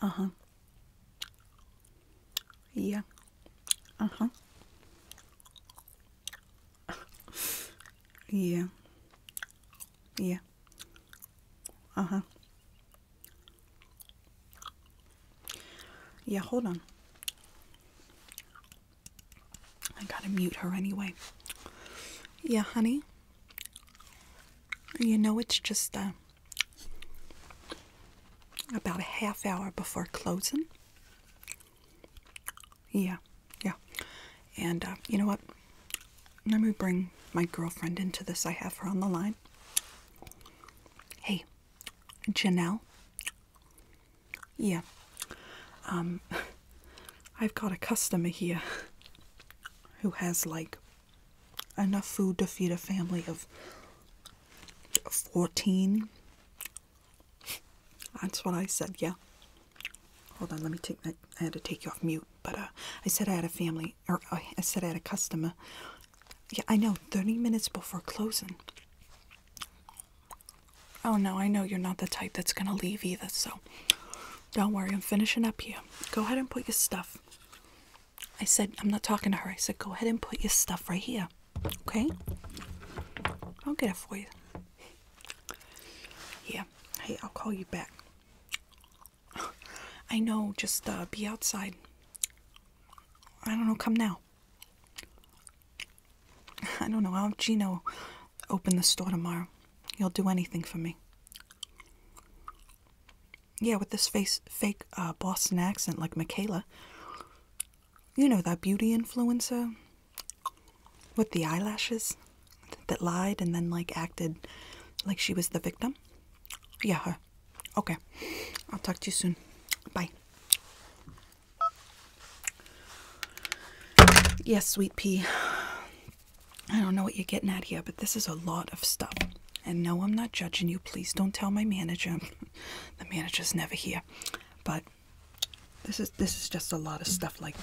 Uh huh. Yeah. Uh huh. yeah. Yeah. Uh huh. Yeah, hold on. I gotta mute her anyway. Yeah, honey. You know, it's just, uh, about a half hour before closing. Yeah, yeah. And uh, you know what? Let me bring my girlfriend into this. I have her on the line. Hey, Janelle. Yeah. Um, I've got a customer here who has like enough food to feed a family of 14. That's what I said, yeah. Hold on, let me take that. I had to take you off mute, but uh, I said I had a family, or uh, I said I had a customer. Yeah, I know, 30 minutes before closing. Oh no, I know you're not the type that's gonna leave either, so don't worry, I'm finishing up here. Go ahead and put your stuff I said, I'm not talking to her. I said, go ahead and put your stuff right here. Okay? I'll get it for you. Yeah. Hey, I'll call you back. I know, just uh, be outside. I don't know, come now. I don't know, I'll have Gino open the store tomorrow. He'll do anything for me. Yeah, with this fake uh, Boston accent like Michaela. You know that beauty influencer with the eyelashes that lied and then like acted like she was the victim? Yeah, her. Okay. I'll talk to you soon. Bye. Yes, sweet pea. I don't know what you're getting at here, but this is a lot of stuff. And no, I'm not judging you. Please don't tell my manager. the manager's never here. But this is this is just a lot of stuff like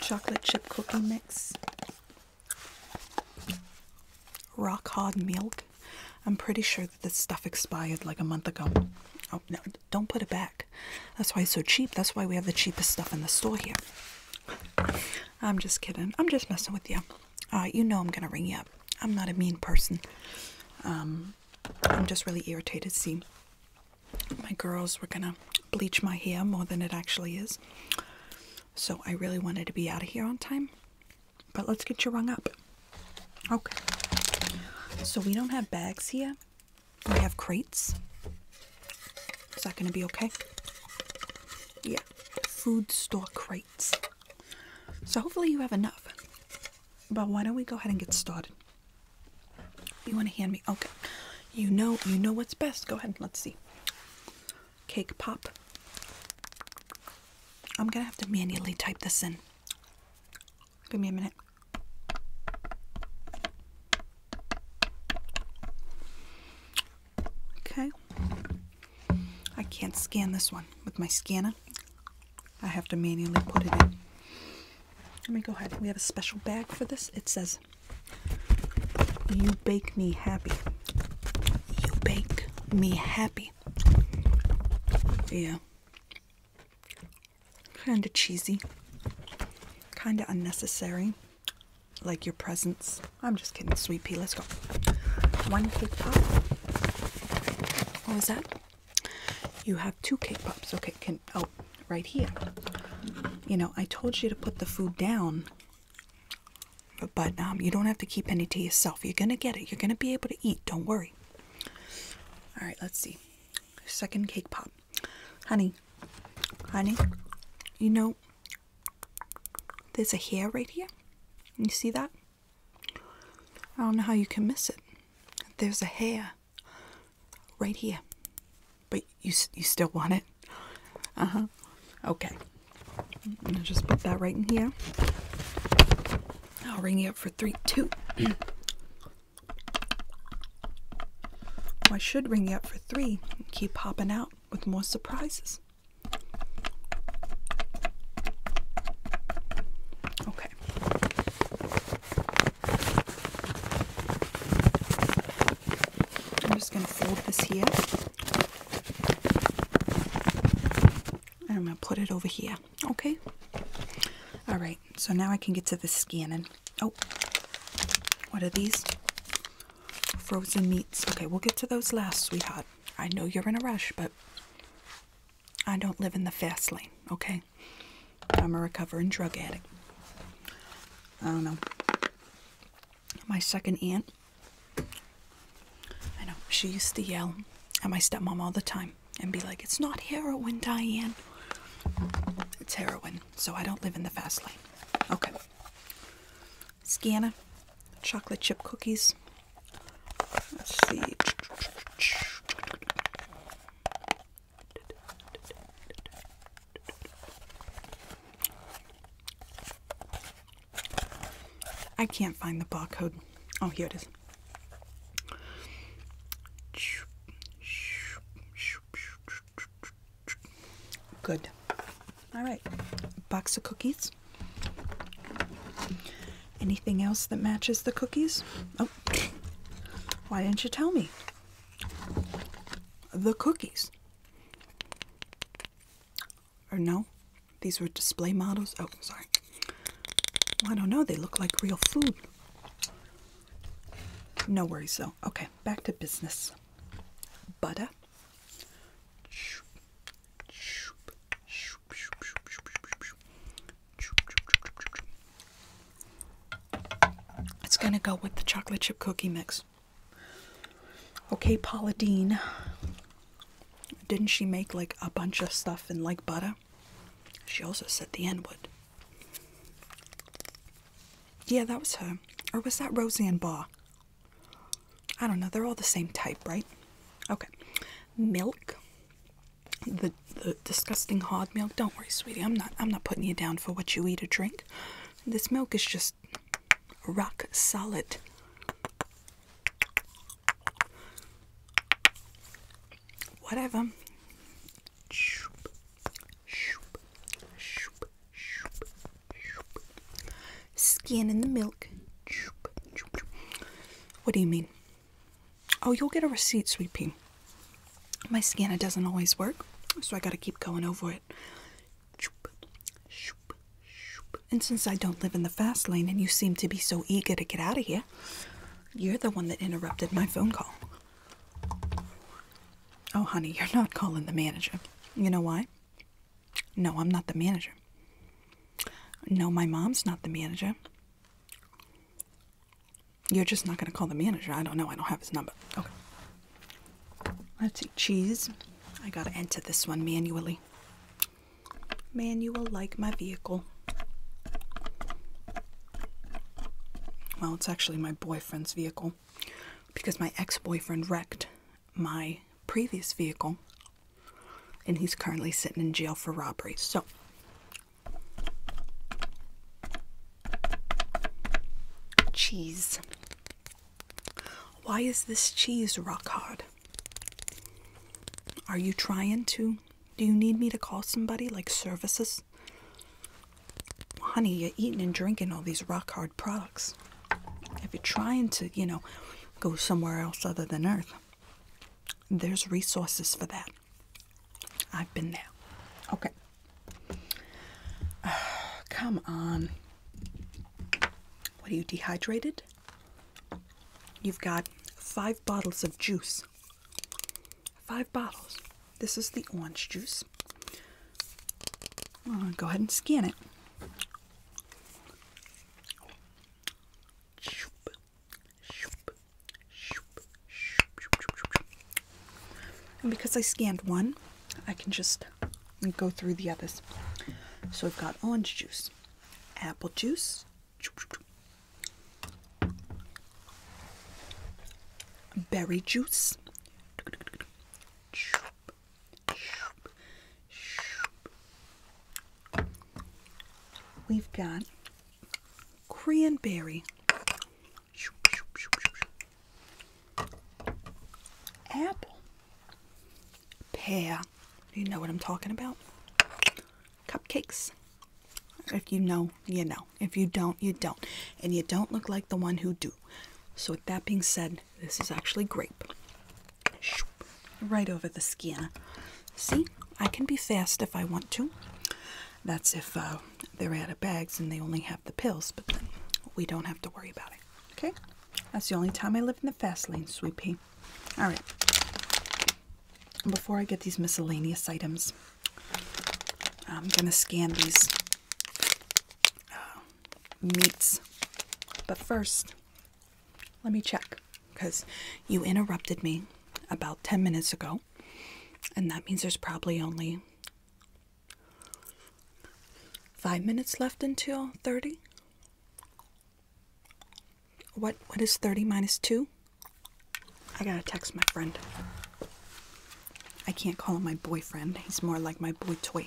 chocolate chip cookie mix, rock hard milk. I'm pretty sure that this stuff expired like a month ago. Oh no, don't put it back. That's why it's so cheap. That's why we have the cheapest stuff in the store here. I'm just kidding. I'm just messing with you. Uh, you know I'm gonna ring you up. I'm not a mean person. Um, I'm just really irritated. See, my girls were gonna bleach my hair more than it actually is. So I really wanted to be out of here on time. But let's get you rung up. Okay. So we don't have bags here. We have crates. Is that gonna be okay? Yeah food store crates. So hopefully you have enough. But why don't we go ahead and get started? You want to hand me? Okay. You know, you know what's best. Go ahead. Let's see. Cake pop. I'm gonna have to manually type this in. Give me a minute. Okay. I can't scan this one with my scanner. I have to manually put it in. Let me go ahead. We have a special bag for this. It says, You make Me Happy. You make Me Happy. Yeah. Kinda cheesy. Kinda unnecessary like your presents. I'm just kidding, sweet Let's go. One cake pop. What was that? You have two cake pops. Okay, can oh, right here. You know, I told you to put the food down, but um, you don't have to keep any to yourself. You're gonna get it. You're gonna be able to eat. Don't worry. All right, let's see. Second cake pop, honey. Honey, you know, there's a hair right here. You see that? I don't know how you can miss it. There's a hair right here. But you you still want it? Uh-huh. Okay. i will just put that right in here. I'll ring you up for three, two. I should ring you up for three and keep popping out with more surprises. Okay. I'm just going to fold this here. I'm going to put it over here. Okay. All right. So now I can get to the scanning. Oh, what are these? frozen meats. Okay, we'll get to those last, sweetheart. I know you're in a rush, but I don't live in the fast lane, okay? I'm a recovering drug addict. I don't know. My second aunt, I know, she used to yell at my stepmom all the time and be like, It's not heroin, Diane. It's heroin, so I don't live in the fast lane. Okay. Scanna chocolate chip cookies. Let's see. I can't find the barcode. Oh, here it is. Good. All right, box of cookies. Anything else that matches the cookies? Oh, why didn't you tell me? The cookies. Or no, these were display models. Oh, sorry. I don't know, they look like real food. No worries though. Okay, back to business. Butter. It's going to go with the chocolate chip cookie mix. Okay, Paula Dean. Didn't she make like a bunch of stuff in like butter? She also said the N word. Yeah, that was her. Or was that Roseanne Barr? I don't know, they're all the same type, right? Okay. Milk. The, the disgusting hard milk. Don't worry, sweetie. I'm not I'm not putting you down for what you eat or drink. This milk is just rock solid. Whatever. Skin in the milk. What do you mean? Oh, you'll get a receipt, sweet pea. My scanner doesn't always work, so I gotta keep going over it. And since I don't live in the fast lane and you seem to be so eager to get out of here, you're the one that interrupted my phone call. Oh, honey, you're not calling the manager. You know why? No, I'm not the manager. No, my mom's not the manager. You're just not going to call the manager. I don't know. I don't have his number. Okay. Let's see. Cheese. I got to enter this one manually. Manual like my vehicle. Well, it's actually my boyfriend's vehicle because my ex boyfriend wrecked my previous vehicle, and he's currently sitting in jail for robbery. So, cheese. Why is this cheese rock hard? Are you trying to? Do you need me to call somebody like services? Honey, you're eating and drinking all these rock hard products. If you're trying to, you know, go somewhere else other than Earth, there's resources for that. I've been there. Okay. come on. What are you dehydrated? You've got five bottles of juice. Five bottles. This is the orange juice. Uh, go ahead and scan it. And because I scanned one, I can just go through the others. So I've got orange juice, apple juice, berry juice, We've got cranberry, apple, pear. You know what I'm talking about. Cupcakes. If you know, you know. If you don't, you don't. And you don't look like the one who do. So with that being said, this is actually grape right over the skin. See, I can be fast if I want to. That's if uh, they're out of bags and they only have the pills, but then we don't have to worry about it. Okay? That's the only time I live in the fast lane, sweetie. All right. Before I get these miscellaneous items, I'm going to scan these uh, meats. But first, let me check because you interrupted me about 10 minutes ago, and that means there's probably only five minutes left until 30. What, what is 30 minus 2? I gotta text my friend. I can't call him my boyfriend, he's more like my boy toy.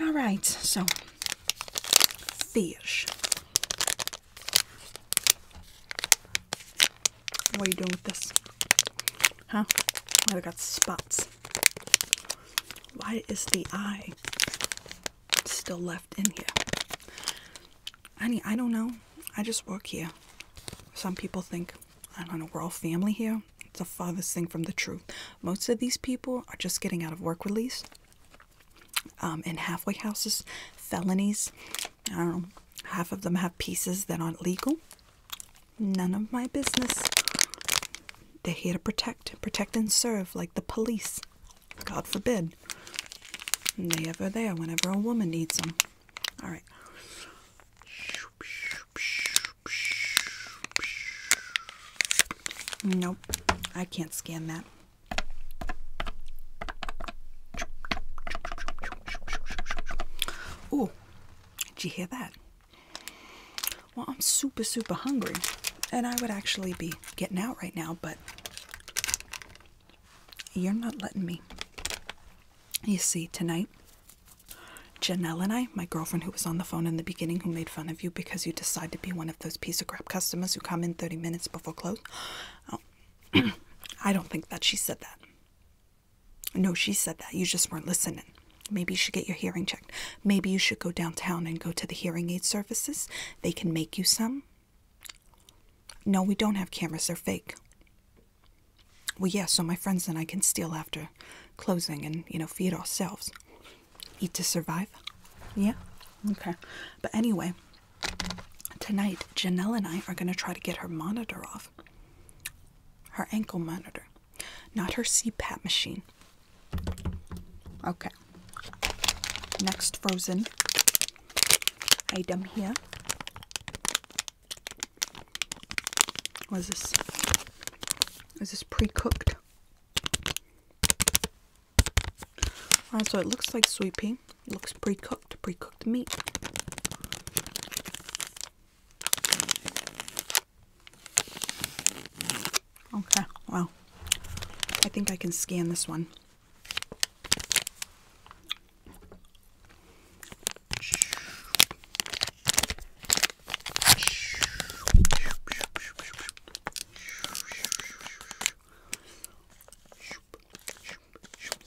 All right, so fish. What are you doing with this? Huh? Oh, I got spots. Why is the eye still left in here? Honey, I don't know. I just work here. Some people think, I don't know, we're all family here. It's the farthest thing from the truth. Most of these people are just getting out of work release um, in halfway houses, felonies. I don't know. Half of them have pieces that aren't legal. None of my business. They're here to protect, protect and serve, like the police. God forbid. they ever there whenever a woman needs them. All right. Nope, I can't scan that. Oh, did you hear that? Well, I'm super, super hungry, and I would actually be getting out right now, but you're not letting me. You see, tonight, Janelle and I, my girlfriend who was on the phone in the beginning who made fun of you because you decided to be one of those piece of crap customers who come in 30 minutes before close. Oh. I don't think that she said that. No, she said that. You just weren't listening. Maybe you should get your hearing checked. Maybe you should go downtown and go to the hearing aid services. They can make you some. No, we don't have cameras. They're fake. Well, yeah, so my friends and I can steal after closing and, you know, feed ourselves eat to survive. Yeah? Okay. But anyway, tonight Janelle and I are going to try to get her monitor off. Her ankle monitor. Not her CPAP machine. Okay. Next frozen item here was this is this pre-cooked Alright, so it looks like sweet pea. It looks pre-cooked, pre-cooked meat. Okay, well, I think I can scan this one.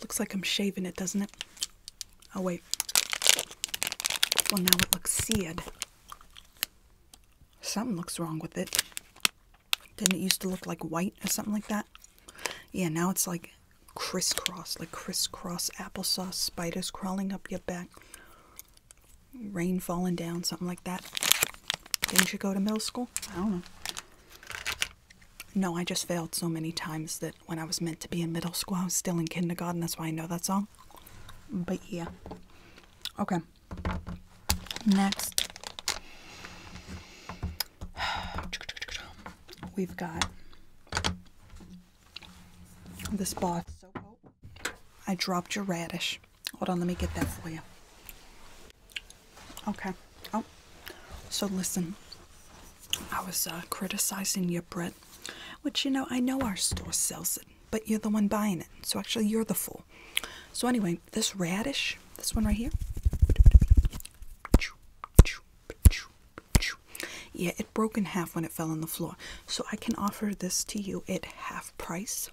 Looks like I'm shaving it, doesn't it? Oh, wait. Well, now it looks seared. Something looks wrong with it. Didn't it used to look like white or something like that? Yeah, now it's like crisscross, like crisscross applesauce, spiders crawling up your back rain falling down, something like that. Didn't you go to middle school? I don't know. No, I just failed so many times that when I was meant to be in middle school, I was still in kindergarten. That's why I know that song. But yeah. Okay. Next. We've got this box. I dropped your radish. Hold on, let me get that for you. Okay. Oh, so listen. I was uh, criticizing your bread, which you know I know our store sells it, but you're the one buying it, so actually you're the fool. So anyway, this radish, this one right here. Yeah, it broke in half when it fell on the floor. So I can offer this to you at half price.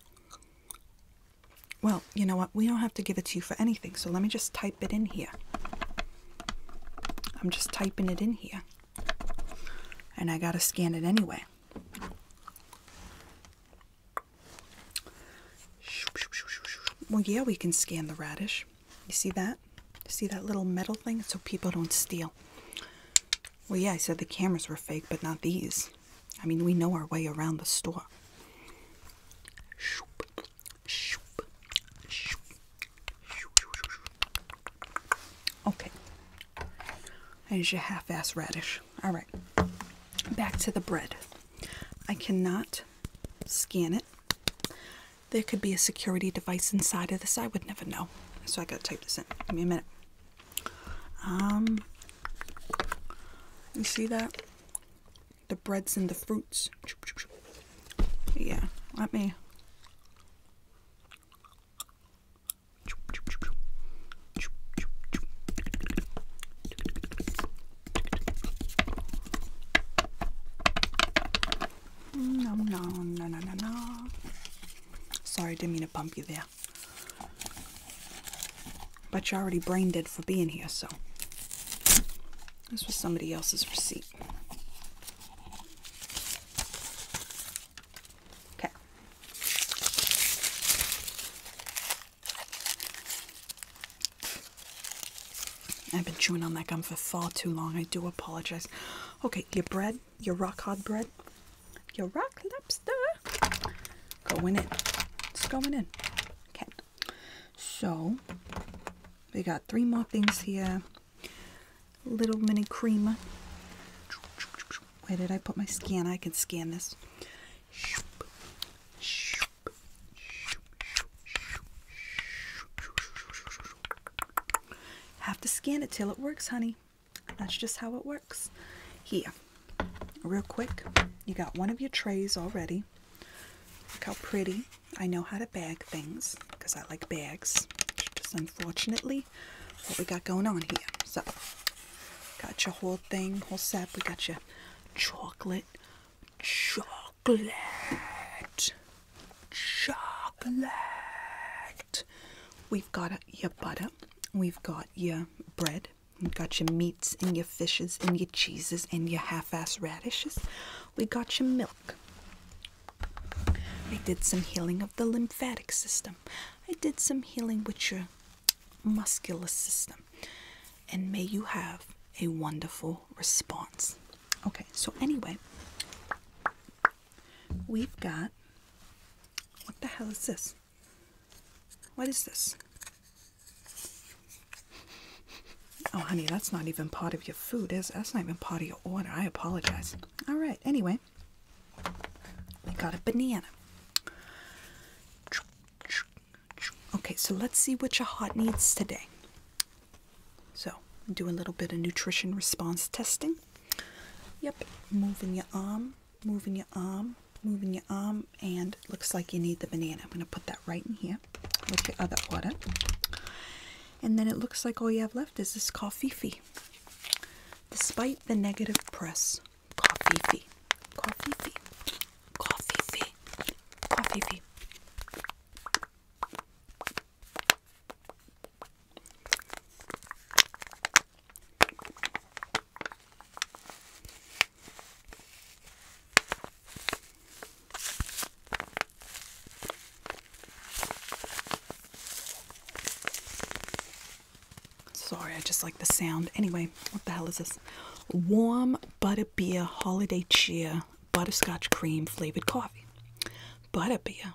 Well, you know what? We don't have to give it to you for anything, so let me just type it in here. I'm just typing it in here. And I gotta scan it anyway. Well, yeah, we can scan the radish. You see that? see that little metal thing? So people don't steal. Well, yeah, I said the cameras were fake, but not these. I mean, we know our way around the store. Okay. There's your half ass radish. Alright. Back to the bread. I cannot scan it. There could be a security device inside of this. I would never know. So I gotta type this in. Give me a minute. Um, you see that? The breads and the fruits. Yeah, let me. Mm, Sorry, didn't mean to bump you there. But you're already brain dead for being here, so. This was somebody else's receipt. Okay. I've been chewing on that gum for far too long. I do apologize. Okay, your bread, your rock hard bread, your rock lobster. Going in. It's going in. Okay. So, we got three more things here. Little mini creamer. Where did I put my scanner? I can scan this. Have to scan it till it works, honey. That's just how it works here. Real quick, you got one of your trays already. Look how pretty. I know how to bag things because I like bags. Just unfortunately what we got going on here. So, got your whole thing, whole set. We got your chocolate, chocolate, chocolate. We've got your butter. We've got your bread. You got your meats and your fishes and your cheeses and your half-ass radishes. We got your milk. I did some healing of the lymphatic system. I did some healing with your muscular system. And may you have a wonderful response. Okay, so anyway, we've got what the hell is this? What is this? Oh, honey, that's not even part of your food, is That's not even part of your order. I apologize. All right, anyway, we got a banana. Okay, so let's see what your heart needs today. So, do a little bit of nutrition response testing. Yep, moving your arm moving your arm, moving your arm, and looks like you need the banana. I'm going to put that right in here with your other order. And then it looks like all you have left is this coffee Despite the negative press, coffee fee, coffee fee, coffee fee, coffee fee. Sorry, I just like the sound. Anyway, what the hell is this? Warm butterbeer holiday cheer butterscotch cream flavored coffee. Butterbeer.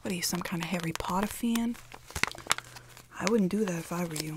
What are you, some kind of Harry Potter fan? I wouldn't do that if I were you.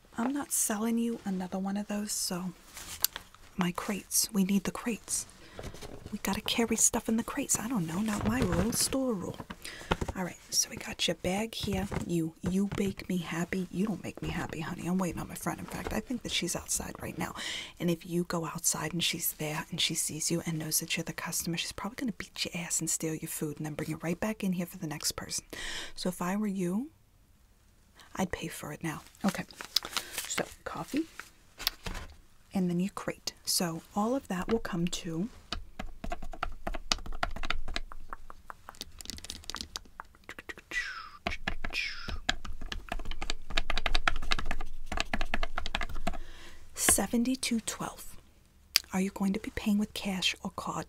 I'm not selling you another one of those, so my crates. We need the crates. We gotta carry stuff in the crates. I don't know, not my rule, store rule. Alright, so we got your bag here. You you bake me happy. You don't make me happy, honey. I'm waiting on my friend. In fact, I think that she's outside right now. And if you go outside and she's there and she sees you and knows that you're the customer, she's probably gonna beat your ass and steal your food and then bring it right back in here for the next person. So if I were you, I'd pay for it now. Okay, so coffee and then you crate. So all of that will come to seventy two twelve. Are you going to be paying with cash or card?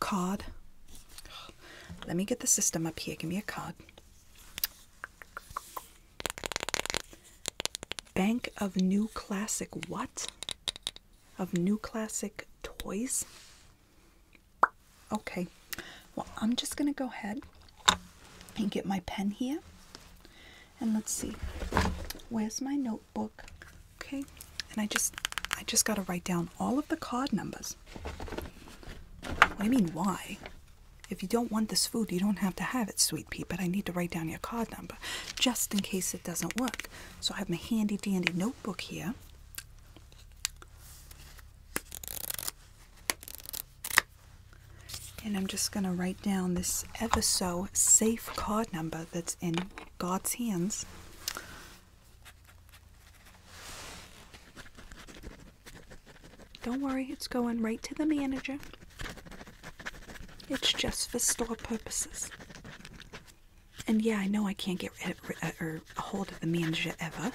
Card. Let me get the system up here. Give me a card. Bank of New Classic what? Of New Classic Toys? Okay. Well, I'm just going to go ahead and get my pen here. And let's see. Where's my notebook? Okay, and I just I just gotta write down all of the card numbers. What do you mean why? If you don't want this food, you don't have to have it, sweet pea, but I need to write down your card number just in case it doesn't work. So I have my handy dandy notebook here. And I'm just going to write down this ever so safe card number that's in God's hands. Don't worry, it's going right to the manager. It's just for store purposes. And yeah, I know I can't get or a hold of the manager ever,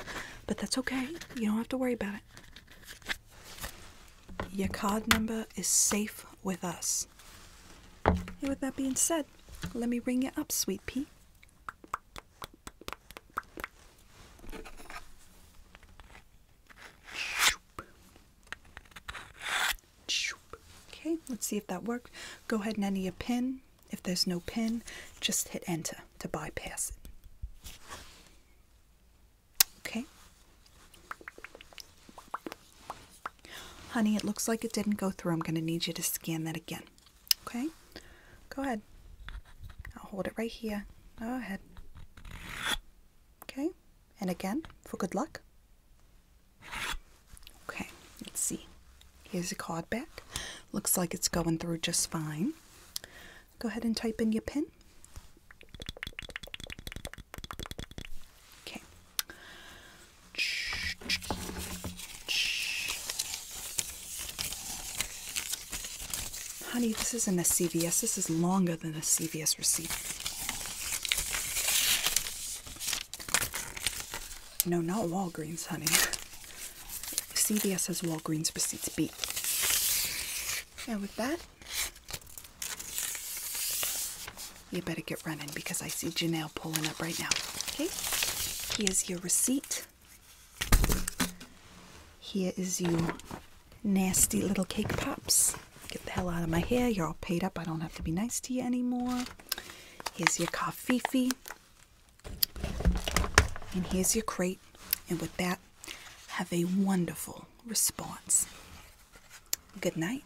but that's okay. You don't have to worry about it. Your card number is safe with us. with that being said, let me ring you up, sweet pea. Okay, let's see if that worked. Go ahead and enter your pin. If there's no pin, just hit enter to bypass it. Okay. Honey, it looks like it didn't go through. I'm going to need you to scan that again. Okay? Go ahead. I'll hold it right here. Go ahead. Okay? And again, for good luck. Okay, let's see. Here's the card back. Looks like it's going through just fine. Go ahead and type in your PIN. Okay, Honey, this isn't a CVS. This is longer than a CVS receipt. No, not Walgreens, honey. CVS has Walgreens receipts beat. And with that, you better get running because I see Janelle pulling up right now. Okay, here's your receipt. Here is you nasty little cake pops. Get the hell out of my hair. You're all paid up. I don't have to be nice to you anymore. Here's your coffee. And here's your crate. And with that, have a wonderful response. Good night.